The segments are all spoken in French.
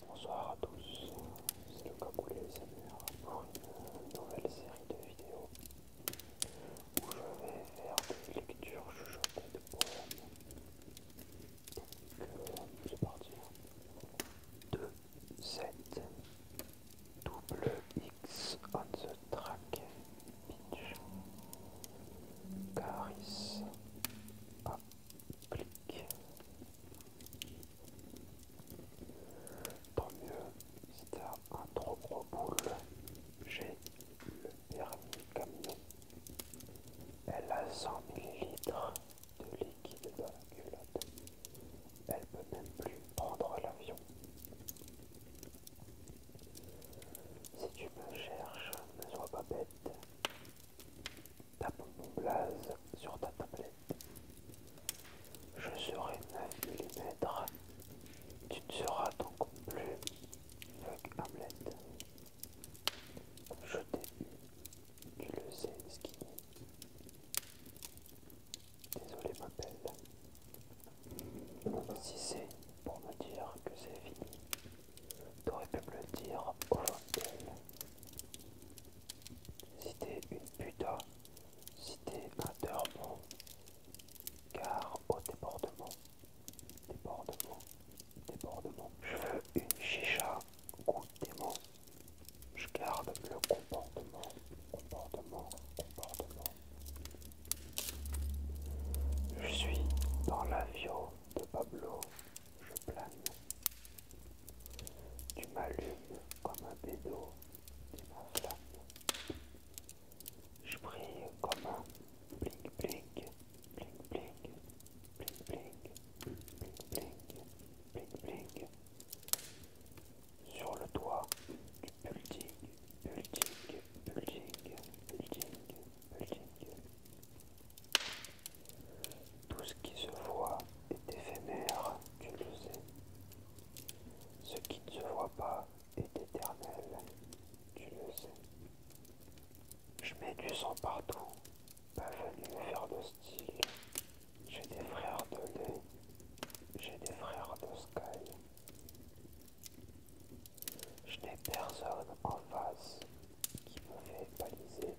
Bonsoir à tous, c'est le les amis pour une nouvelle série de vidéos où je vais faire des lectures chuchotées de poèmes. Donc euh, c'est parti. 2, hein. 7, double X on the track, pitch, caris, applique, Tant mieux, si t'as un trop gros boule, j'ai le permis camion. Elle a 100 millilitres de liquide dans la culotte. Elle peut même plus prendre l'avion. Si tu me cherches, ne sois pas bête. Tape mon blaze sur ta tablette. Je serai 9 mm. Tu ne seras donc plus fuck Hamlet. Je t'ai Tu le sais, Skinny. Désolé, ma belle. Si c'est pour me dire que c'est fini, T'aurais pu me le dire au C'était une puta, si t'es un bon, car au débordement, débordement, débordement, je veux une chicha des démon. Je garde le comportement, comportement, comportement. Je suis dans l'avion de Pablo je plane. Tu m'allumes comme un bédo, tu m'inflammes. Je brille comme un bling bling, bling bling, bling bling, bling bling, bling bling, Sur le toit du building, building, building, building. Tout ce qui se voit est éphémère, tu le sais. Ce qui ne se voit pas est éternel, tu le sais. Je mets du sang partout, pas venu faire de style. J'ai des frères de lait, j'ai des frères de sky. Je n'ai personne en face qui me fait baliser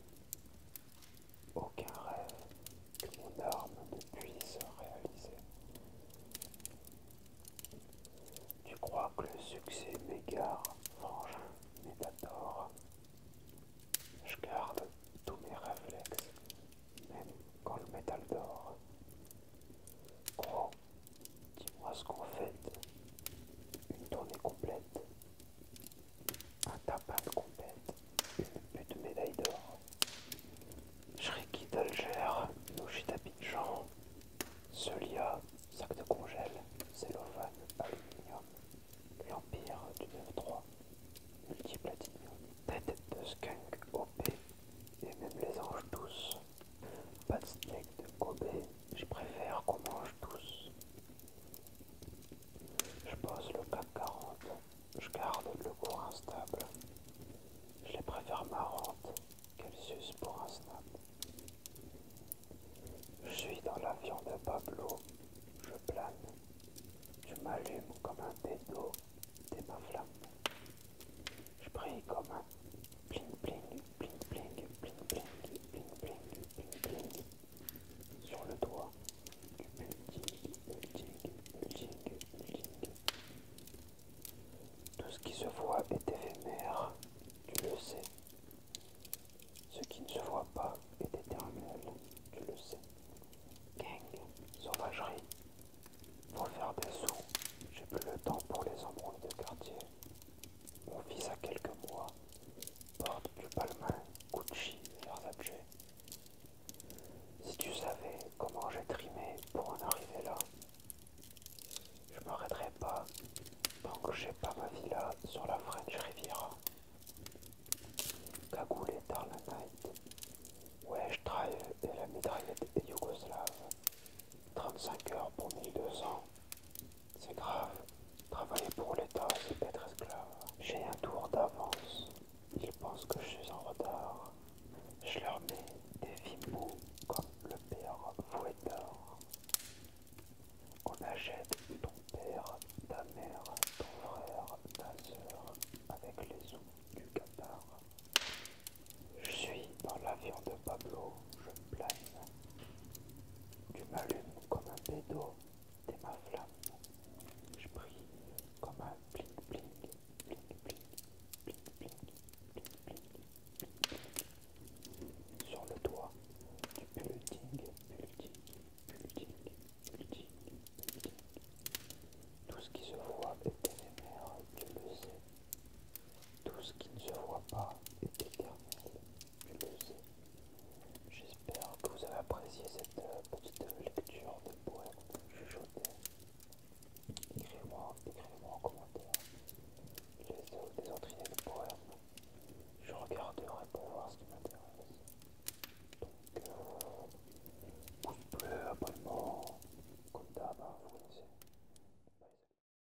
aucun rêve que mon arme ne puisse réaliser. Tu crois que le succès m'égare, mange mais tort. Je garde tous mes réflexes, même quand le métal dort. Gros, dis-moi ce qu'on fait. Une tournée complète un tabac complète, une de médaille d'or. Shriki d'Alger, Noshita Pigeon, Celia, sac de congèle, cellophane, aluminium, l'empire du 9-3, multiplatinium, tête de skunk OP, et même les anges douces. Pas de steak de Kobe, je préfère qu'on mange tous. Je pose le CAC 40, je garde le cours instable. Je les préfère marrantes qu'elles s'usent pour un snap. Je suis dans l'avion de Pablo, je plane. je m'allumes comme un pédo, t'es ma flamme. Je prie comme un bling bling bling bling bling bling bling bling bling bling sur le doigt du Tout ce qui se voit est éphémère, tu le sais. Ce qui ne se voit pas est éternel, tu le sais. Gang, sauvagerie. Faut faire des sous, j'ai plus le temps pour les embrouilles de quartier. Mon fils a quelques mois porte du palmin, Gucci objets. Si tu savais comment j'ai trimé pour en arriver là, je m'arrêterai pas tant que j'ai pas ma villa sur la French Riviera. Cagoule et night. Ouais, je Trail et la mitraillette yougoslave, 35 heures pour 1200, c'est grave. Travailler pour l'État, c'est être esclave. J'ai un tour d'avance. Ils pensent que je suis en retard. Je leur mets des vimous comme le père Fouettard. On achète ton père, ta mère, ton frère, ta sœur avec les sous du Qatar. Je suis dans l'avion de Pablo je plane. Tu m'allumes comme un pédo, t'es ma flamme. Je brille comme un bling bling, bling bling, bling bling, bling bling. Sur le toit du building, building, building, building, building. Tout ce qui se voit est éphémère, tu le sais. Tout ce qui ne se voit pas est éternel, je le sais. J'espère que vous avez apprécié cette euh, petite lecture de poème chuchoté. Écrivez-moi écrivez en commentaire les, des autres idées de poèmes. Je regarderai pour voir ce qui m'intéresse. Donc, euh, vous pouce bleu, abonnement, comme d'hab, hein, vous connaissez.